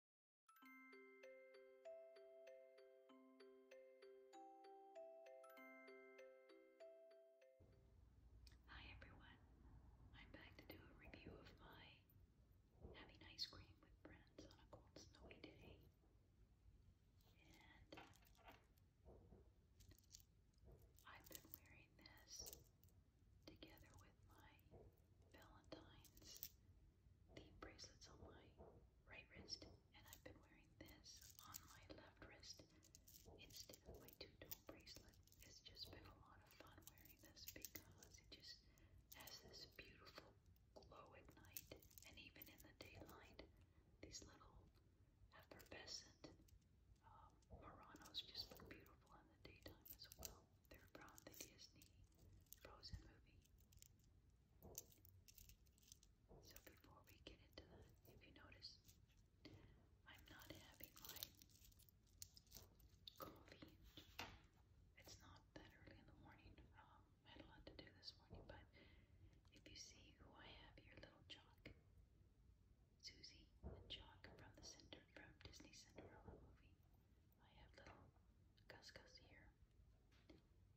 Hi everyone, I'm back to do a review of my having ice cream with friends on a cold snowy day. And uh, I've been wearing this together with my Valentine's the bracelets on my right wrist, and I've been wearing this on my left wrist instead of my two-tone bracelet. It's just been a lot of fun wearing this because it just has this beautiful glow at night, and even in the daylight, these little effervescent um, Muranos just look beautiful in the daytime as well they from the Disney Frozen movie. So before we get into that, if you notice, I'm not having my coffee. It's not that early in the morning. Um, I had a lot to do this morning, but if you see who I have here, little Jock, Susie and Jock from the center from Disney Cinderella movie. I have little couscous here. And before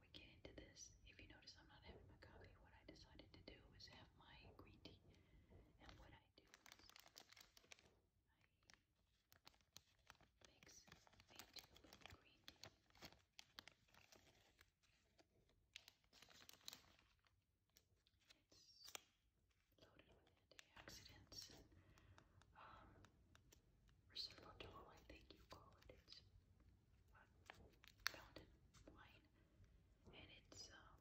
we get into this, if you notice I'm not having my coffee, what I decided to do was have my green tea. And what I do is I mix a tube green tea. It's loaded with antioxidants and um, resveratrol, I think you call It's uh, wine, and it's um,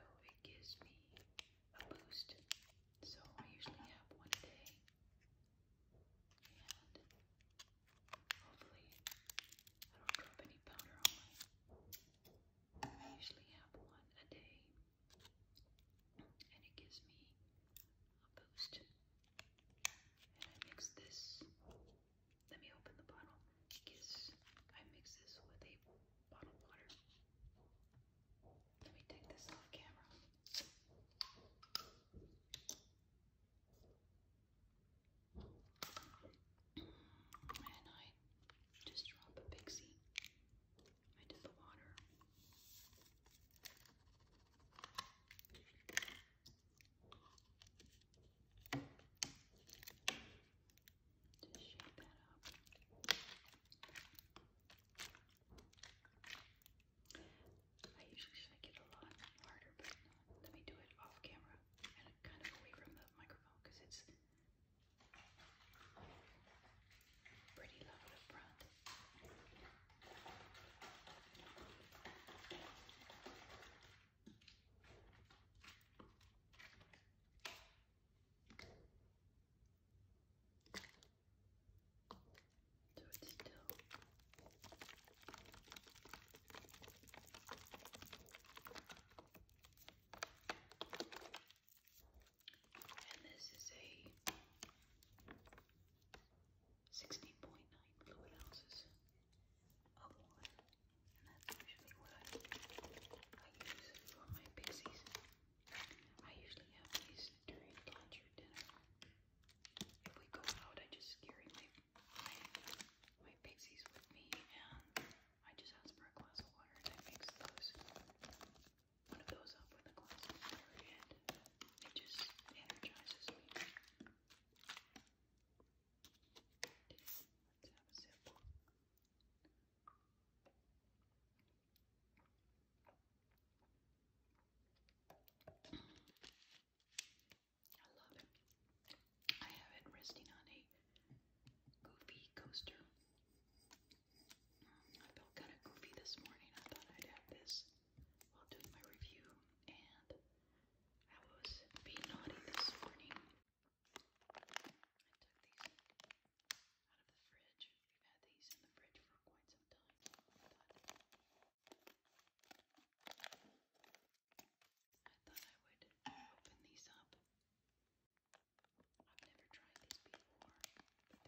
It gives me a boost, so I usually have one a day, and hopefully I don't drop any powder on I usually have one a day, and it gives me a boost. And I mix this, let me open the bottle, I mix this with a bottle of water. Let me take this off camera and I just drop a pixie into the water. Just shake that up. I usually like it a lot harder, but let me do it off camera and kind of away from the microphone because it's Pretty lovely brand. So it's still and this is a 16.9 fluid ounces of water. And that's usually what I, I use for my pixies. I usually have these during lunch or dinner. If we go out, I just carry my, my, my pixies with me and I just asked a glass of water I mixed those, one of those up with a glass of water and it just energizes me. Let's have a sip. I love it. I have it resting on a goofy coaster. Um, I felt kind of goofy this morning. I thought I'd have this while doing my review, and I was being naughty this morning. I took these out of the fridge. We've had these in the fridge for quite some time. thought I thought I would open these up. I've never tried these before, but they're the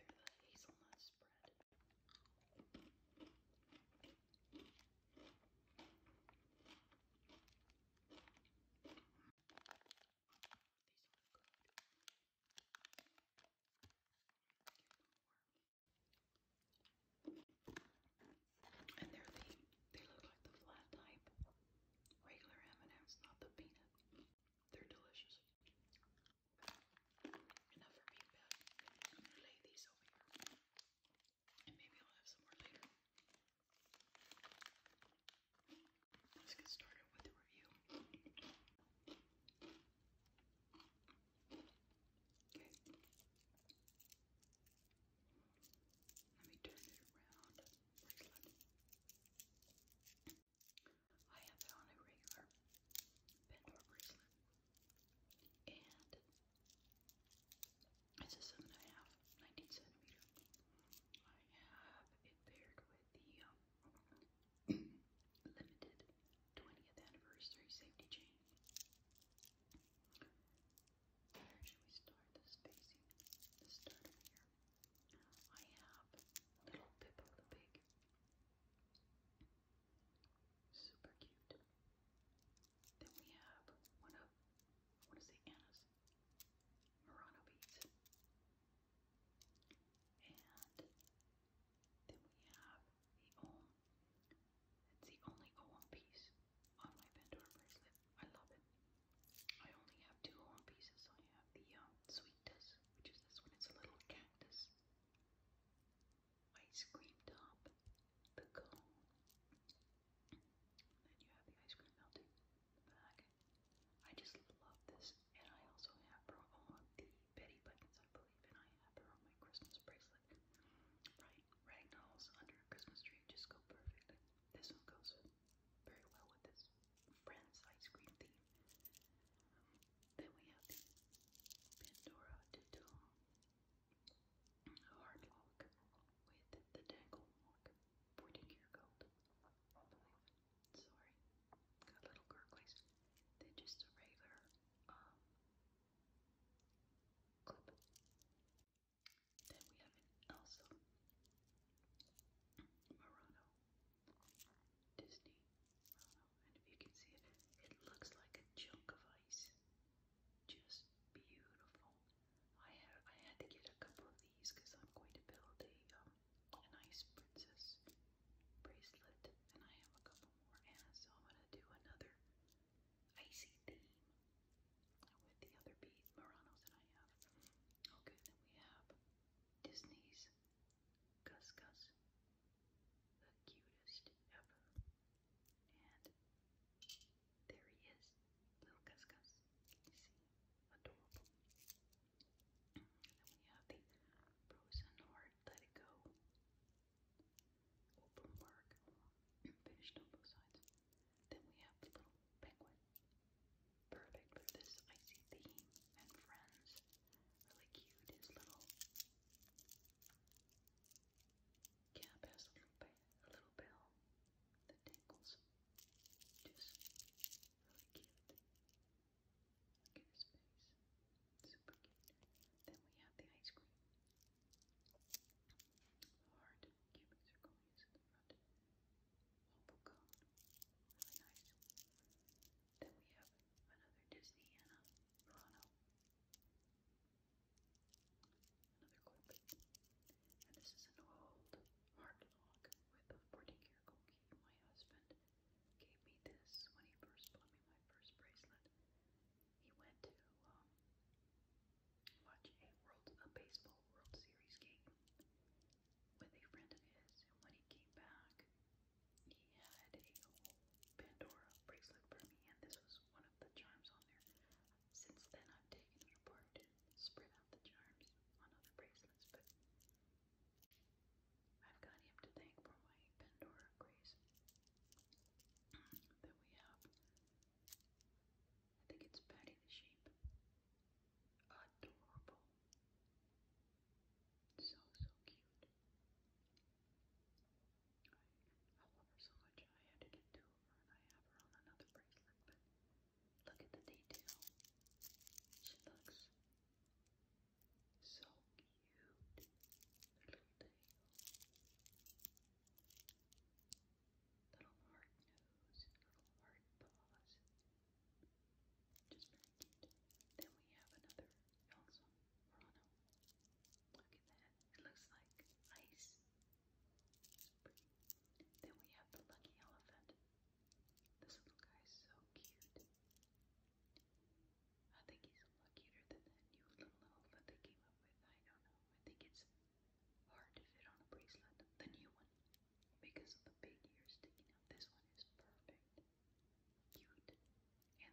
hazelnut spread. These are good. Give them more. And they're the, they look like the flat type. Regular M&M's, not the peanut. They're delicious. Enough for me, Beth. I'm gonna lay these over here. And maybe I'll have some more later. Let's get started with the review. Okay. Let me turn it around. I have found a regular Pandora bracelet. And it's a seven and a half, centimeter. I have it paired with the um, limited 20th anniversary safety chain. Where should we start the spacing? Let's start here. I have little Pippo the Pig. Super cute. Then we have one of, I want Anna's, Murano beads. And then we have the Om. It's the only Om piece on my Pandora bracelet. I love it. I only have two home pieces. I have the um, which is this one. It's a little cactus. Ice cream top, the cone, then you have the ice cream melting back. I just love this, and I also have her on the Betty Buttons, I believe, and I have her on my Christmas bracelet right Ragnall's Under a Christmas Tree just go perfect. This one goes very well with this Friends ice cream theme. Then we have the Pandora Ditto Hard Lock with the Dangle Lock. 14 gold. Sorry. Got little gurglies. They're just a regular um, then we have an Elsa, Murano, Disney, and if you can see it, it looks like a chunk of ice. Just beautiful. I had I had to get a couple of these because I'm going to build a um, an ice princess bracelet, and I have a couple more, and so I'm gonna do another icy theme with the other bead Muranos that I have. Okay, then we have Disney's Gus Gus, the cutest ever. And there he is, little Gus Gus. You see, adorable. And then we have the Frozen Heart Let It Go open work, finished on both sides. Then we have the little penguin. Perfect for this icy theme and friends. Really cute. His little cap has a little, bell that tinkles. Just really cute. Look at Super cute. Then we have the ice cream. Heart, cubic circle leaves at the front. Oval really nice. Then we have another Disney Anna Murano. Another Colby. And this is an old heart lock with a 14 karat gold My husband gave me this when he first bought me my first bracelet he went to um, watch a world a baseball World Series game with a friend of his, and when he came back, he had a whole Pandora bracelet for me, and this was one of the charms on there. Since then, I've taken it apart and spread out the charms on other bracelets, but I've got him to thank for my Pandora grace that we have. I think it's Patty the Sheep. Adorable. So, so cute. I, love her so much. I had to her, and I have her on another bracelet. But look at the detail. She looks so cute. Her little tail. Little hard nose, little hard paws. Just very cute. Then we have another Elsa Rana. Look at that. It looks like ice. Then we have the lucky elephant. This little guy is so cute. I think he's a lot cuter than that new little elf that they came up with. I don't know. I think it's hard to fit on a bracelet, the new one, because of the big ears sticking out. This one is perfect, cute, and the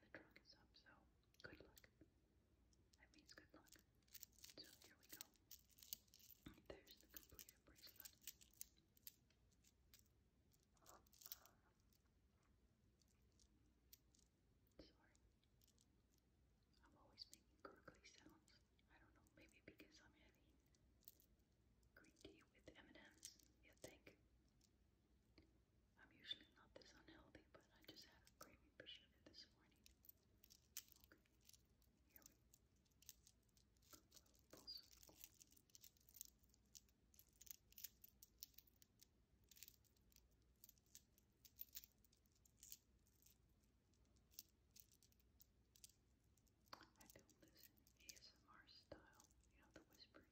trunk is up, so good luck. That means good luck. So here we go. There's the completed bracelet. Sorry. I'm always making gurgly sounds. I don't know, maybe because I'm heavy. Green tea with M&M's, you think? I'm usually not this unhealthy, but I just had a craving for this morning. Okay, here we go. I do this ASMR style, you know, the whispering.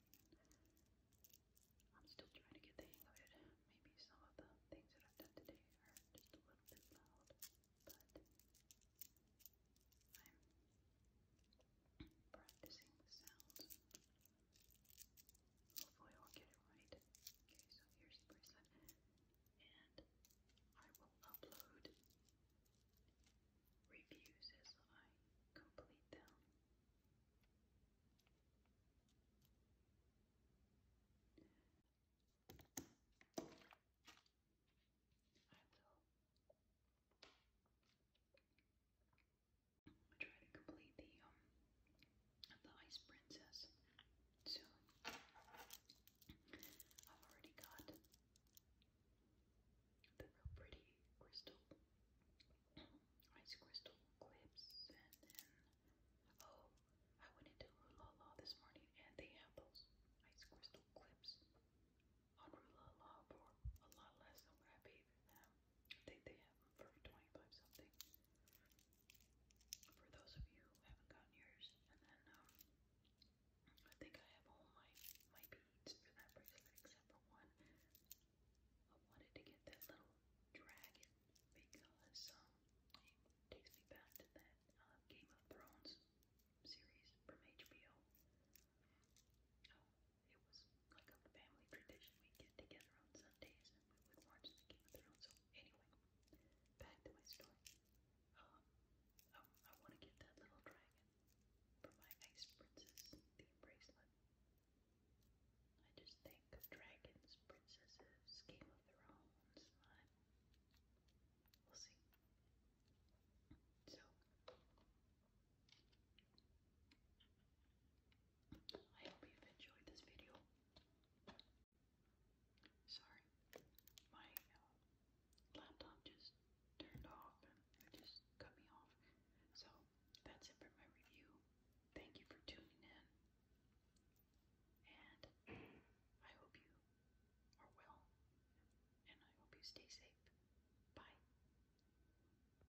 I'm still trying to get the hang of it. Maybe some of the things that I've done today are just a little bit loud, but I'm practicing the sounds. Hopefully I'll get it right. Okay, so here's the bracelet. And I will upload reviews as I complete them. I will try to complete the um the Ice Princess soon. I've already got the real pretty crystal ice crystal clips and oh I went into Rulala this morning and they have those ice crystal clips on Rulala for a lot less than what I paid for them. I think they have for 25 something. For those of you who haven't gotten yours, and then um, I think I have all my my beads for that bracelet except for one. I wanted to get that little dragon because um, it takes me back to that uh, Game of Thrones series from HBO. Oh, it was like a family tradition. We'd get together on Sundays and we would watch the Game of Thrones. So anyway, back to my story. Um, um, I want to get that little dragon for my Ice Princess theme bracelet. I just think dragons, princesses, Game of Thrones. we'll see. So, I hope you've enjoyed this video. Sorry, my uh, laptop just turned off and just cut me off. So that's it for my review. Thank you for tuning in, and I hope you are well, and I hope you stay safe. Bye.